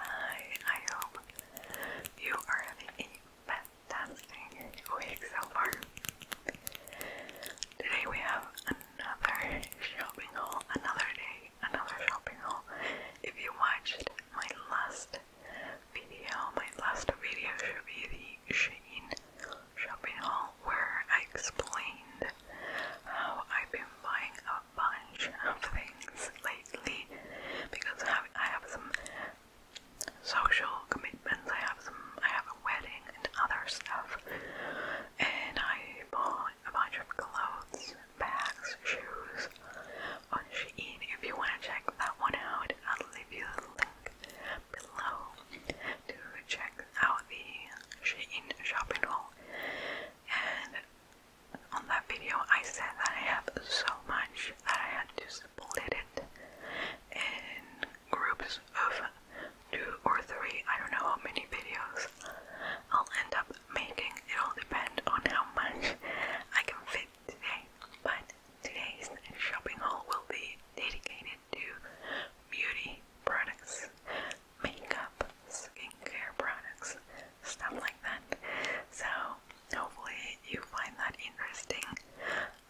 Hi, I hope you are having a fantastic week so far. Today we have another shopping haul, another day, another shopping haul. If you watched my last video, my last video should be the Shein shopping haul where I explained how I've been buying a bunch of things lately because I have, I have some social commitments. I have some, I have a wedding and other stuff, and I bought a bunch of clothes, bags, shoes on Shein. If you want to check that one out, I'll leave you the link below to check out the Shein shopping haul. And on that video I said that I have so much that I had to split it in groups of two or three, I don't know how many videos I'll end up making. it all depend on how much I can fit today. But today's shopping haul will be dedicated to beauty products, makeup, skincare products, stuff like that. So, hopefully, you find that interesting.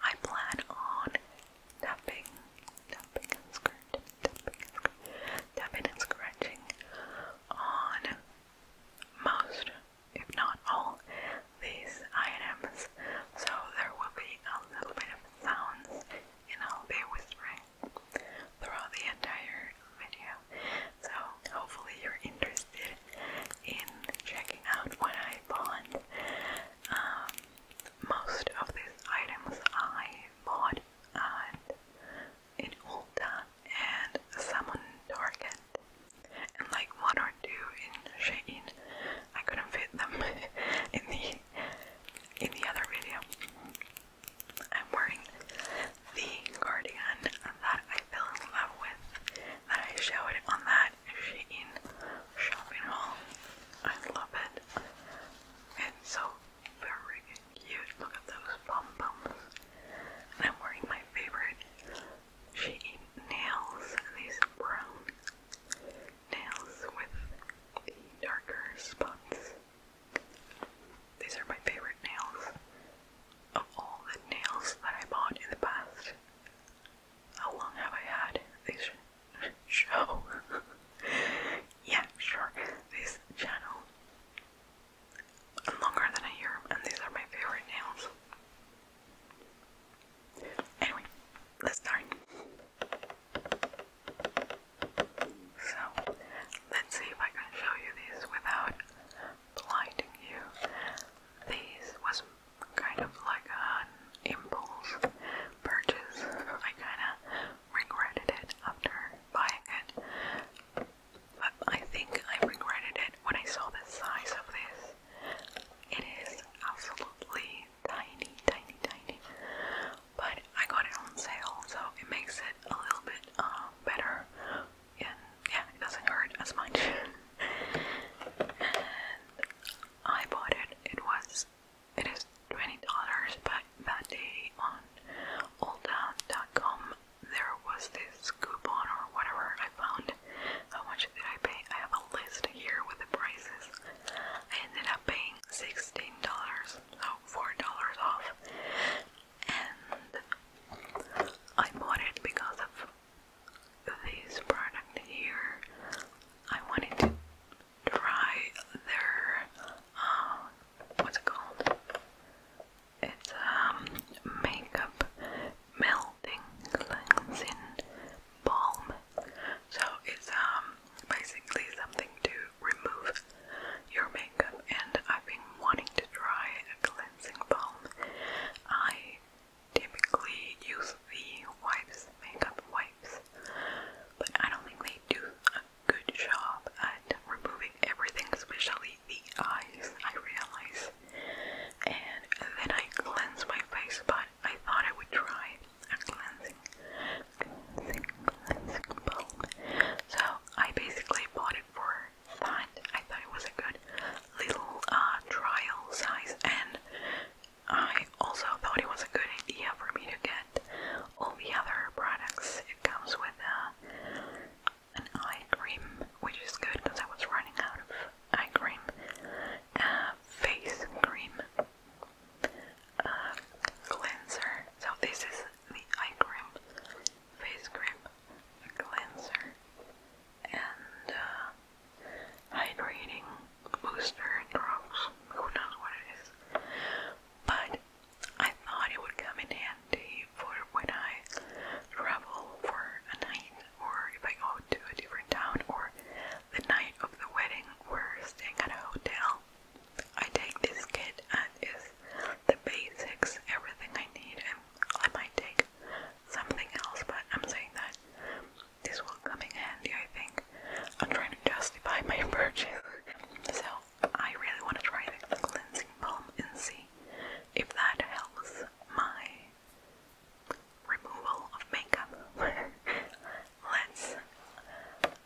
I plan on tapping, tapping and scratching, tapping and scratching, tapping and scratching on most, if not all, these items. So, there will be a little bit of sounds, and I'll be whispering throughout the entire video. So hopefully you're interested in checking out what I bought. Um, most of these items I bought uh, at Ulta and some and like one or two in Shein. I couldn't fit them in the in the other video. I'm wearing the cardigan that I fell in love with, that I showed on that Shein shopping haul. I love it. It's so freaking cute. Look at those pom poms. And I'm wearing my favorite Shein nails. These brown nails with darker spots. These are my favorite nails of all the nails that I bought in the past. How long have I had this show? yeah, sure. This channel. Longer than a year, and these are my favorite nails. Anyway, let's start. So, let's see if I can show you these without blinding you. These was kind of like an impulse purchase. I kind of regretted it after buying it. But I think I regretted it when I saw the size of this. It is absolutely tiny, tiny, tiny. But I got it on sale, so it makes it a little bit uh, better and yeah, it doesn't hurt as much. I bought it. It was it is twenty dollars, but that day on alldown.com there was this coupon or whatever I found. How much did I pay? I have a list here with the prices. I ended up paying sixteen dollars, so four dollars off and I bought it because of this product here. I wanted to try their uh, what's it called? It's um makeup melting cleansing balm. So it's um basically something to remove your makeup and I've been wanting to try a cleansing balm. I typically use the wipes, makeup wipes, but I don't think they do a good job at removing everything, especially the eyes, I realize. And then I cleanse my face, but I thought I would try a cleansing, cleansing, cleansing balm. So I basically bought it for that. I thought it was a good little uh, trial size, and I also thought it was a good idea for me to get all the other products. It comes with uh, an eye cream, which is good because I was running out of eye cream, face cream, cleanser. So, this is the eye cream face cream, cleanser, and uh, hydrating booster drops. Who knows what it is? But I thought it would come in handy for when I travel for a night, or if I go to a different town, or the night of the wedding, we staying at a hotel. I take this kit and it's the basics, everything I need, and I might take something else, but I'm saying that this will come in handy, I think. I'm trying to justify my purchase. So, I really want to try the cleansing balm and see if that helps my removal of makeup. Let's.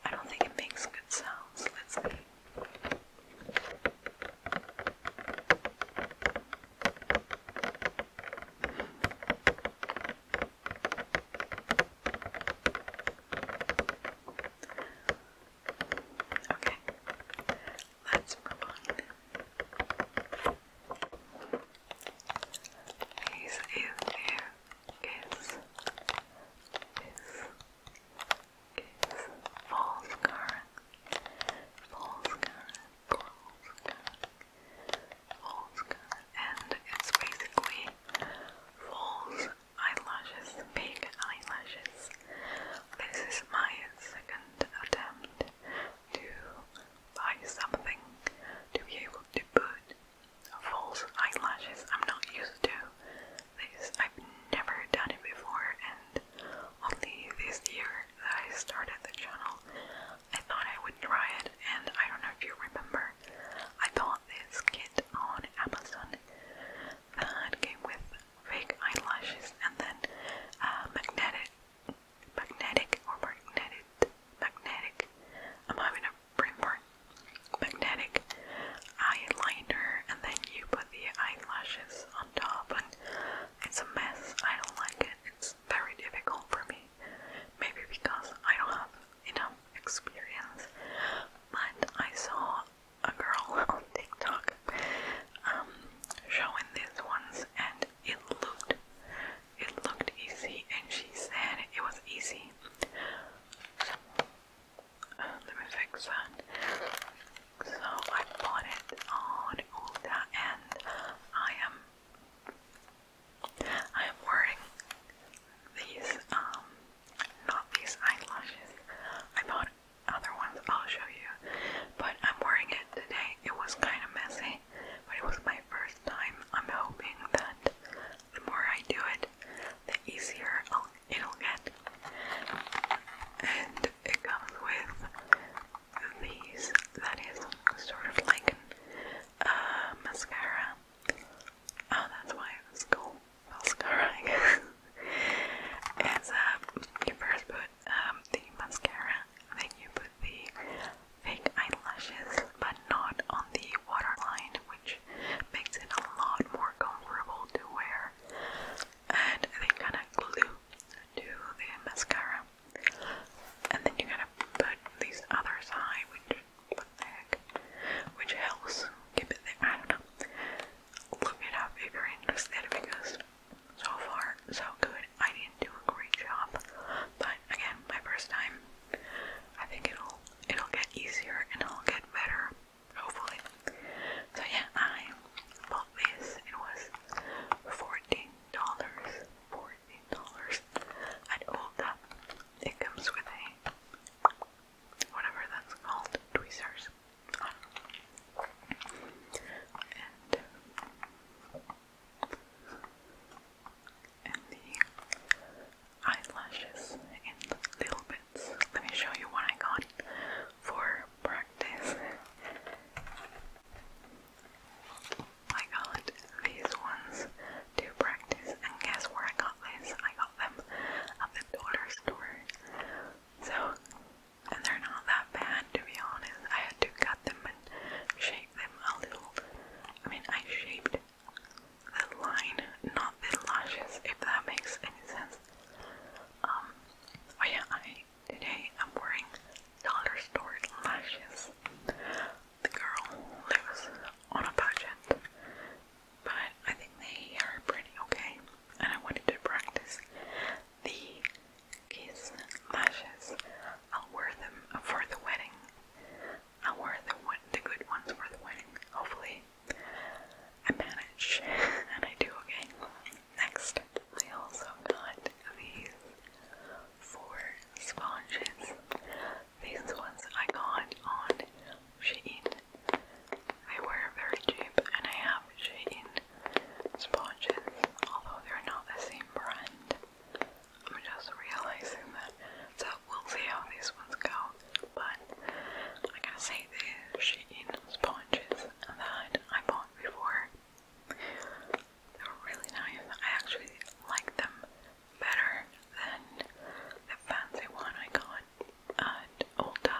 I don't think it makes good sounds. Let's. Okay, let's move on. These is here is is false current, false current, false current, false current, and it's basically false eyelashes, big eyelashes. This is my second attempt to buy something to be able to put false eyelashes. I'm not used to this I've never done it before, and only this year that I started the channel, I thought I would try it. And I don't know if you remember, I bought this kit on Amazon that came with fake eyelashes and then uh, magnetic, magnetic or magnetic, magnetic. I'm having a brain fart. Magnetic eyeliner, and then you the eyelashes on top and it's a mess. I don't like it. It's very difficult for me. Maybe because I don't have enough experience. But I saw a girl on TikTok um, showing these ones and it looked it looked easy and she said it was easy let me fix that. So I put it on and I am I am wearing these um not these eyelashes. I bought other ones I'll show you. But I'm wearing it today. It was kinda messy, but it was my first time. I'm hoping that the more I do it, the easier I'll elongate and it comes with these that is sort of like a uh, mascara oh that's why it's called mascara I guess it's uh, you first put um, the mascara then you put the fake eyelashes but not on the waterline which makes it a lot more comfortable to wear and then kind of glue to the mascara. And then you kind of put this other side, which what the heck, which helps keep it there. I don't know. Look it up if you're interested because so far so good. I didn't do a great job, but again, my first time. I think it'll it'll get easier and it'll get better hopefully. So yeah, I bought this. It was fourteen dollars. Fourteen dollars at Ulta. It comes with a whatever that's called, tweezers. Um, and and the eyelashes in a little bit let me show you what I got for practice. I got these ones to practice, and guess where I got this? I got them at the dollar store. So, and they're not that bad to be honest. I had to cut them and shape them a little. I mean, I shaped the line, not the lashes, if that makes any sense. Um, oh yeah, I today I'm wearing dollar store lashes. The girl lives on a budget, but I think they are pretty okay. And I wanted to practice the kiss lashes. I'll wear them for the wedding. I'll wear the, the good ones for the wedding. Hopefully, I manage, and I do okay. Next, I also got these four sponges. These ones I got on Shein. They were very cheap, and I have Shein sponges, although they're not the same brand. I'm just realizing that, so we'll see how these ones go but I gotta say the Shein sponges that I bought before, they were really nice. I actually like them better than the fancy one I got at Ulta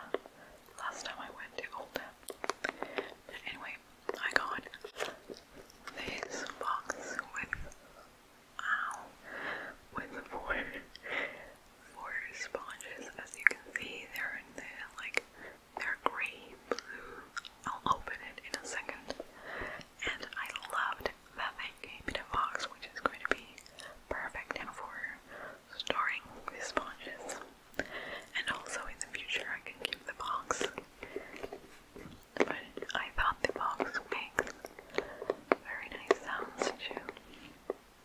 last time I went to Ulta. But anyway, I got this box with ow with four four sponges. As you can see, they're like they're gray blue. I'll open it in a second. And I loved that they gave it a box, which is going to be perfect now for storing the sponges. And also in the future, I can keep the box. But I thought the box makes very nice sounds too.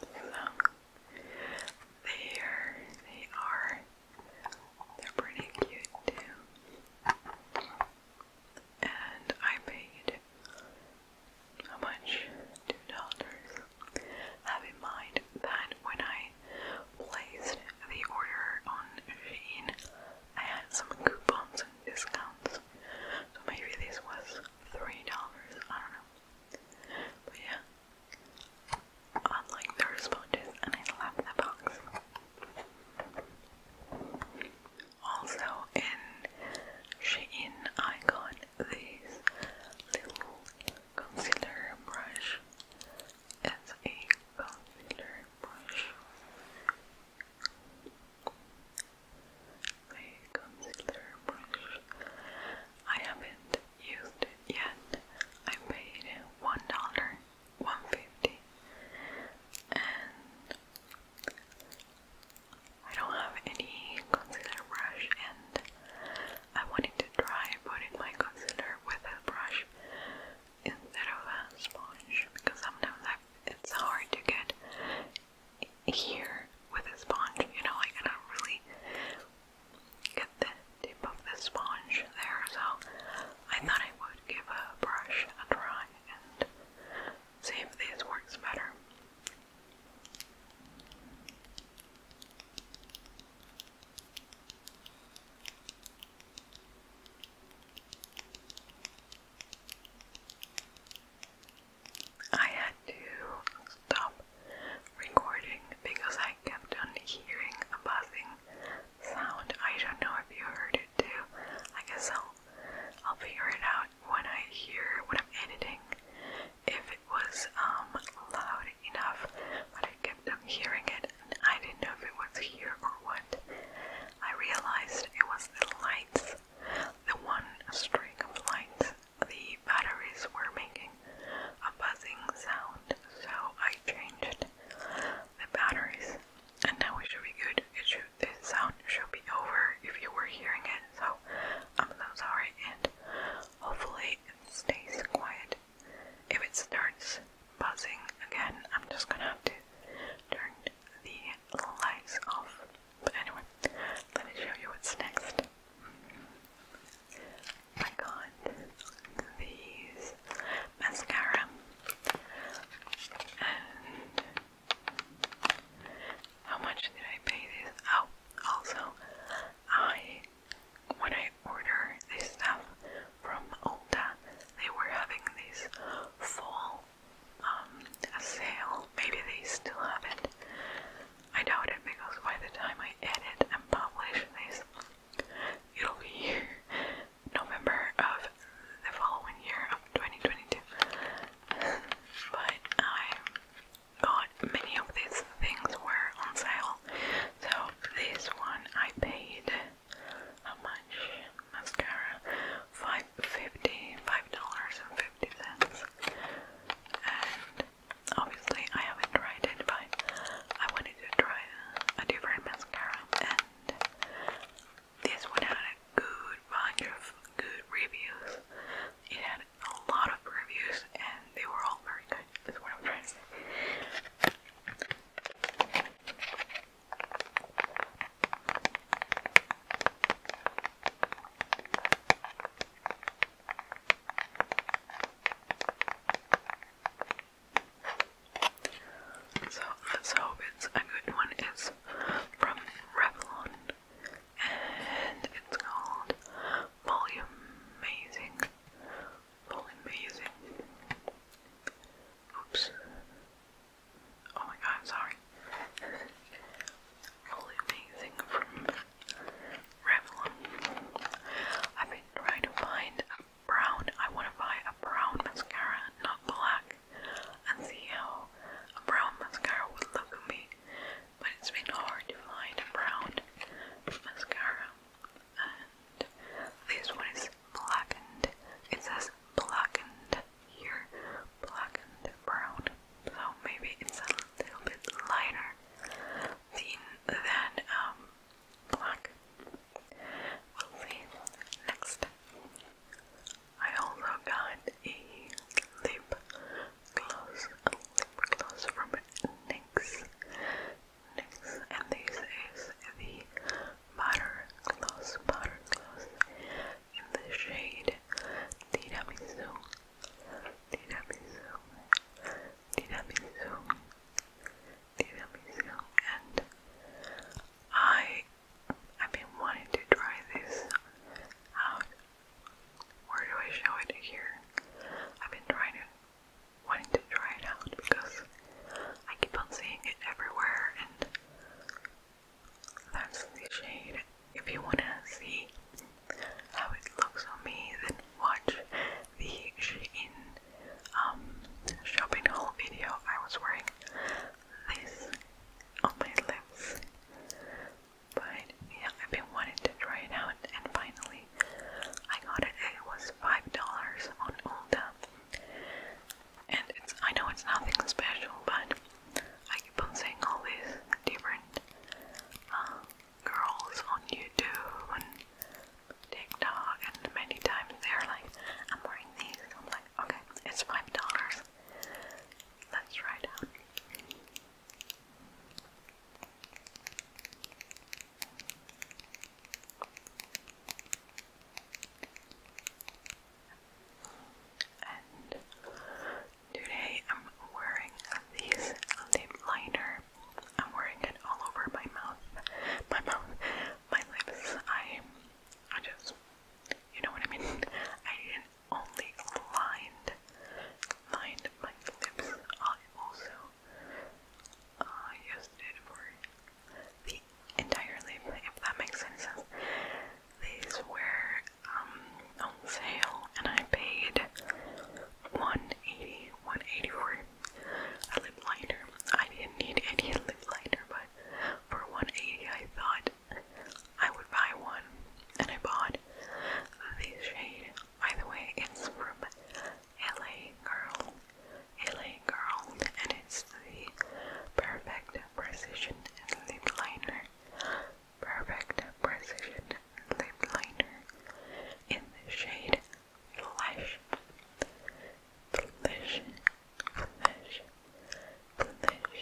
So there they are. They're pretty cute too. And I paid how much? Two dollars. Have in mind that when I placed the order on Shein, I had some coupons and discounts. So maybe this was three dollars. I don't know. But yeah. I like their sponges and I love that box. Also in Shein I got this little concealer brush. It's a concealer brush a concealer brush. I haven't used it yet. I paid one dollar, one fifty, and I don't have any concealer brush, and I wanted to try putting my concealer with a brush instead of a sponge because sometimes it's hard to get here with a sponge, you know, I gotta really get the tip of the sponge there, so I thought I would give a brush a try and see if this works better. I had to stop recording because I kept on hearing a buzzing sound. I don't know if you heard it too. I guess I'll figure it out when I hear when I'm editing if it was um, loud enough. But I kept on hearing it and I didn't know if it was here or what. I realized it was the lights the one streak of light the batteries were making a buzzing sound, so I changed the batteries, and now it should be good. It should, this sound should be over if you were hearing it, so I'm so sorry, and hopefully it stays quiet. If it starts buzzing again, I'm just gonna have to turn the lights off. But anyway, let me show you what's next. I got these mascara how much did I pay this? Oh, also I when I order this stuff from Ulta, they were having these fall um, a sale. Maybe they still have it. I doubt it because by the time I edit and publish this, it'll be November of the following year of 2022. but I got many of these things were on sale. So this one I paid how much mascara? 5 fifty five dollars and fifty cents. And obviously I haven't tried it, but I wanted to try a, different mascara, and this one had a good bunch of good reviews. It had a lot of reviews, and they were all very good. That's what I'm trying so let hope it's a good one. It's from Revlon and it's called Volume Amazing. Volume Amazing. Oops. Oh my god, I'm sorry. Holy amazing from Revlon. I've been trying to find a brown. I want to buy a brown mascara, not black, and see how a brown mascara would look on me. But it's been hard to find a brown mascara. And this one is blackened. It says blackened here black and brown so maybe it's a little bit lighter than um, black we'll see next I also got a lip gloss lip gloss from NYX and this is the butter gloss butter gloss in the shade Tiramisu. Tiramisu. Tiramisu. Tiramisu. And I I've been wanting to try this out. Where do I show it here? I've been trying to wanting to try it out because I keep on seeing it everywhere and that's the shade. If you want to see how it looks on me, then watch the Shein um, shopping haul video. I was wearing this on my lips. But yeah, I've been wanting to try it out, and finally I got it. It was $5 on Ulta and it's I know it's nothing special, but I keep on seeing all these different uh, girls on YouTube and TikTok, and many times they're like, "I'm wearing these." And I'm like, "Okay, it's five dollars. Let's try it out." And today I'm wearing these lip liner. I'm wearing it all over my mouth, my mouth, my lips. I, I just, you know what I mean. I only lined, lined my lips. I also uh, used it for the entire lip, if that makes sense these were um, on sale and I paid 180 180 for a lip liner. I didn't need any lip liner, but for 180 I thought I would buy one and I bought this shade. By the way, it's from LA Girl. LA Girl and it is the perfect precision lip liner. Perfect precision lip liner in the shade Flesh. Flesh. Flesh. Flesh.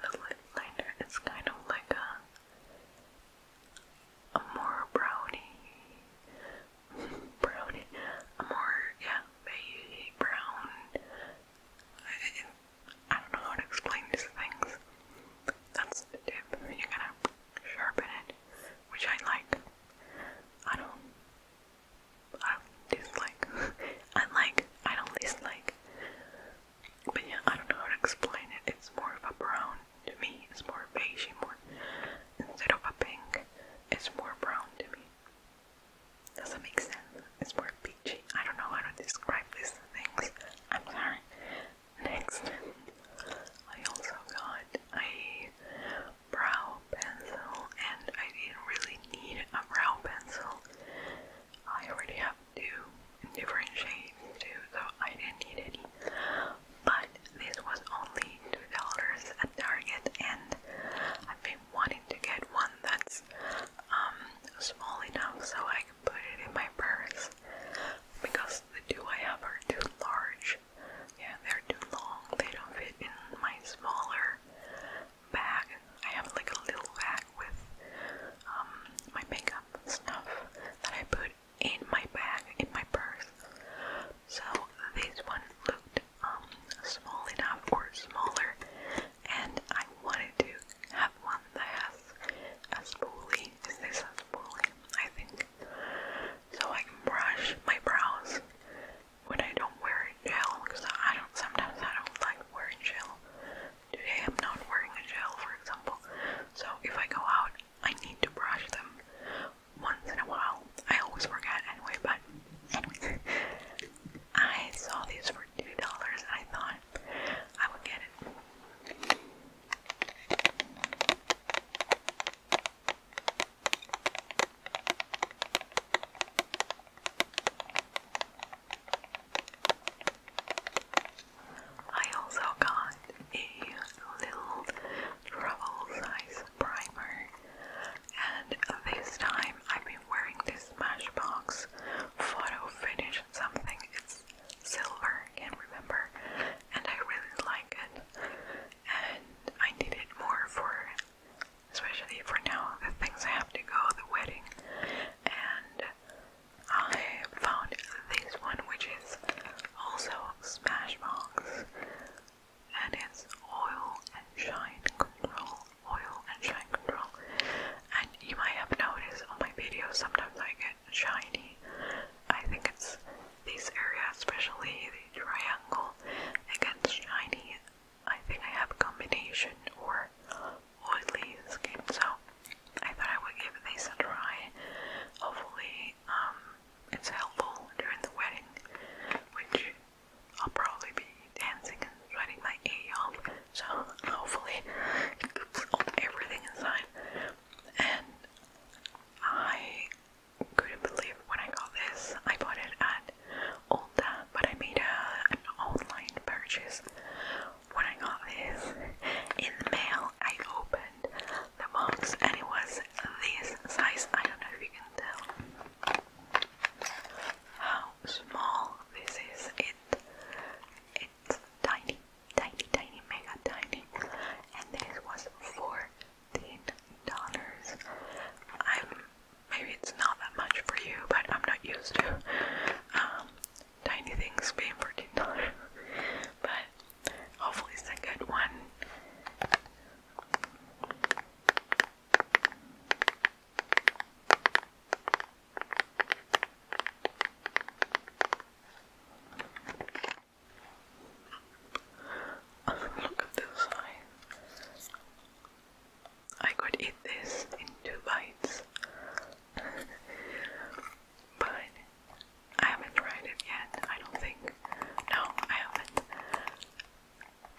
The lip liner is kind of like a a more brownie brownie, more, yeah, beige, brown, I, I don't know how to explain these things, that's the tip, you're gonna sharpen it, which I like, I don't, I don't dislike, I like, I don't dislike, but yeah, I don't know how to explain it, it's more of a brown, to me, it's more beige, more instead of a pink is more brown to me. Does that make sense? It's more peachy. I don't know how to describe these things. I'm sorry. Next, I also got a brow pencil, and I didn't really need a brow pencil. I already have two different shades too, so I didn't need any. But this was only at Target and I've been wanting to get one that's um, small enough so I can put it in my purse because the two I have are too large. Yeah, they're too long. They don't fit in my smaller bag. I have like a little bag with um, my makeup stuff that I put in my bag, in my purse. So this one looked it um, small enough or smaller, and I wanted to have one that has a spoolie. Is this a spoolie? I think. So I can brush my brows when I don't wear gel, because I don't. Sometimes I don't like wearing gel. Today I'm not wearing a gel, for example. So if I go out, I need to brush them, once in a while. I always forget anyway, but anyway. I saw these for $2 I thought I would get it. I also got a little travel size primer and this time I've been wearing this Smashbox photo finish something. It's silver, I can't remember, and I really like it. And I need it more for, especially for now, the things I have to go, the wedding. And I found this one, which is also Smashbox and it's oil and shine control. Oil and shine control. And you might have noticed on my videos sometimes I get shiny. I think it's this area, especially the triangle, it gets shiny. I think I have combination or oily skin, so I thought I would give this a try. Hopefully, um, it's helpful during the wedding, which I'll probably be dancing and sweating my A off, so hopefully it coops up And I couldn't believe when I got this. I bought it at Ulta, but I made an online purchase when I got this in the mail. I opened the box and it was this size. I don't know if you can how small this is. It it's tiny, tiny, tiny, mega tiny. And this was fourteen dollars. I'm maybe it's not that much for you, but I'm not used to um, tiny things being fourteen dollars. but hopefully it's a good one. Look at the I could eat this in two bites, but I haven't tried it yet. I don't think. No, I haven't.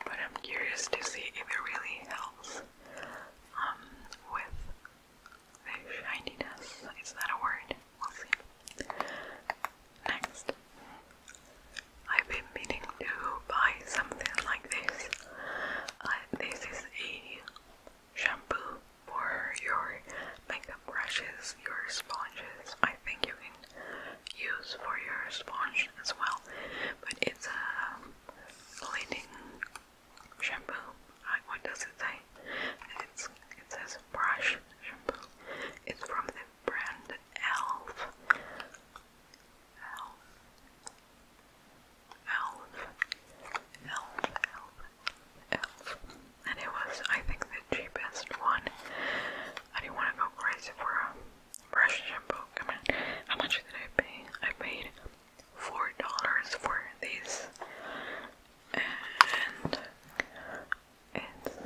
But I'm curious to see if it really helps um, with the shininess. Is that a word? We'll see. Next, I've been meaning to buy something like this. Uh, this is a shampoo for your makeup brushes, your sponges. I think you use for your sponge as well. But it's a leading shampoo. what does it say? It's, it says brush shampoo. It's from the brand Elf. Elf. Elf. Elf. Elf. Elf. And it was, I think, the cheapest one. I didn't want to go crazy for a brush shampoo. I mean, how much did I pay? I paid four dollars for this, and it's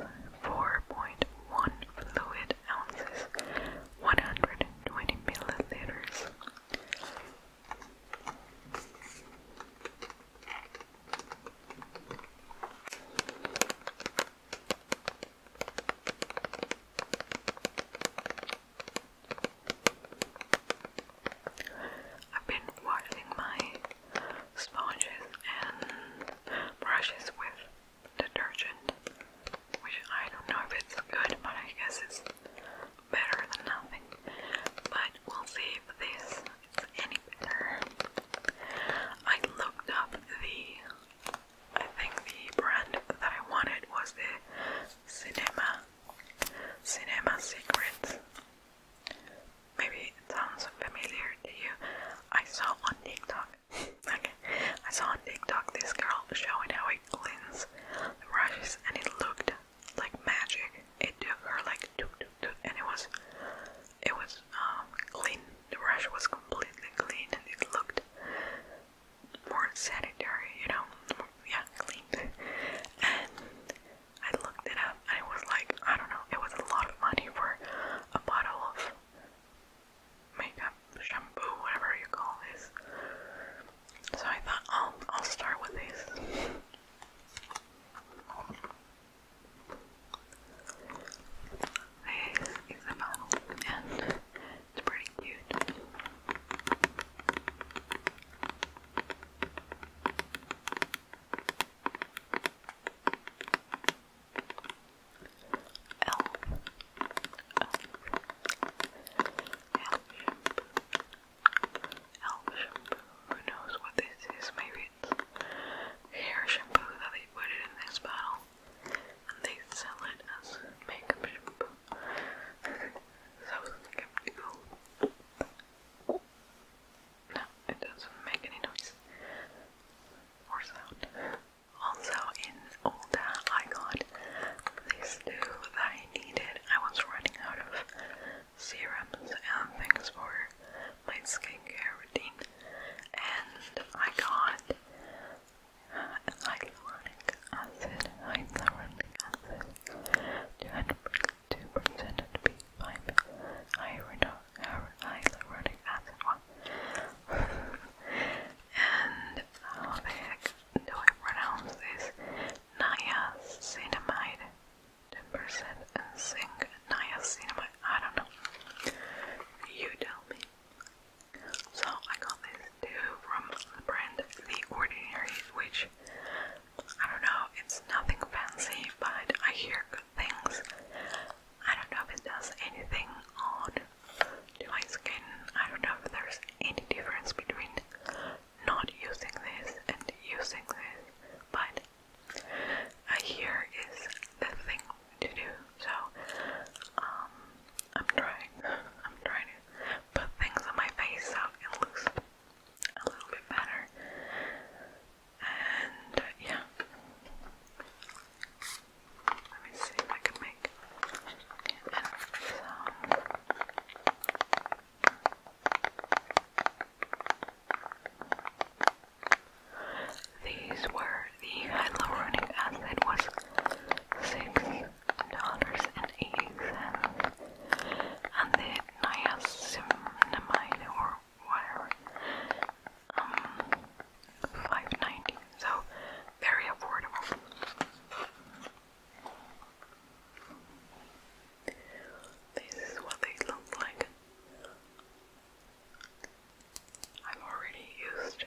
four point one fluid ounces, one hundred and twenty milliliters. I've been washing my sponges and brushes with detergent, which I don't know if it's good, but I guess it's better than nothing. But we'll see if this is I looked up the, I think the brand that I wanted was the Cinema, Cinema Secrets. Maybe it sounds familiar to you. I saw on TikTok, okay, I saw on TikTok this girl showing how he cleans the brushes and it looked like magic. It did her like two, two, two, and it was, it was um, clean the brush was completely clean and it looked more sanitary, you know, yeah, clean. And I looked it up and it was like, I don't know, it was a lot of money for a bottle of makeup, shampoo, whatever you call this. So I thought, I'll, I'll start with these. He's a model and it's pretty cute. Elf. Elf. Elf shampoo. Who knows what this is? Maybe hair shampoo that they put it in this bottle and they sell it as makeup shampoo. so it doesn't make any noise or sound. Also, in Ulta, I got these two that I needed. I was running out of serums and things for my skincare routine, and I got hyaluronic acid, hyaluronic acid, 2% B5, hyaluronic acid one. and how do I pronounce this? Niacinamide, 10% and zinc, niacinamide. I don't know. You tell me. So I got this too from the brand The Ordinary, which I don't know, it's nothing fancy, but I hear good things. I don't know if it does anything on my skin. I don't know if there's any difference between not using this and using this, but a year is the thing to do. So, um, I'm trying, I'm trying to put things on my face so it looks a little bit better. And uh, yeah, let me see if I can make these were the hyaluronic acid was six dollars and eighty cents, and the niacinamide or whatever, um, five ninety. So very affordable. This is what they look like. I've already used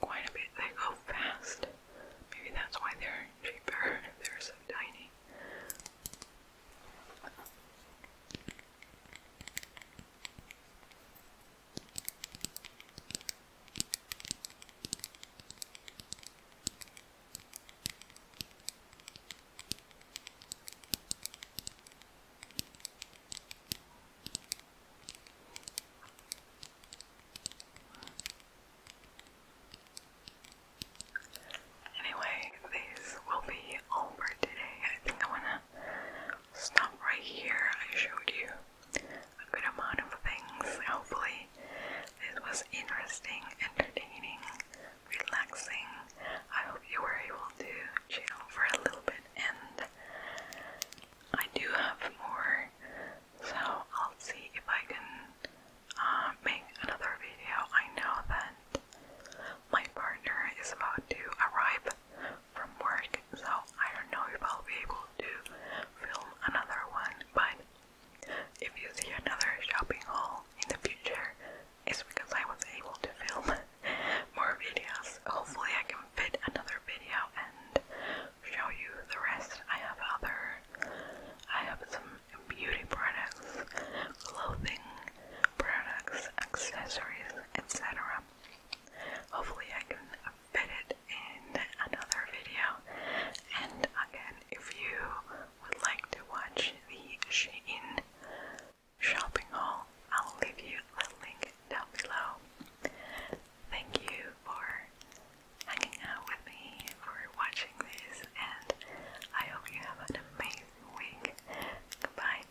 quite a bit. They go fast. Maybe that's why they're cheaper. They're so tiny. Anyway, these will be all today. I think I wanna stop right here. I showed you a good amount of things. Hopefully, this was interesting, entertaining, relaxing, I hope you were able to chill for a little bit, and I do have more, so I'll see if I can uh, make another video. I know that my partner is about to arrive from work, so I don't know if I'll be able to film another one, but if you see another shopping haul in the future, is because I was able to film more videos. Hopefully I can fit another video and show you the rest. I have other, I have some beauty products, clothing products, accessories, etc. Hopefully I can fit it in another video. And again, if you would like to watch the Shein shopping haul. I'll leave you the link down below. Thank you for hanging out with me, for watching this, and I hope you have an amazing week. Goodbye.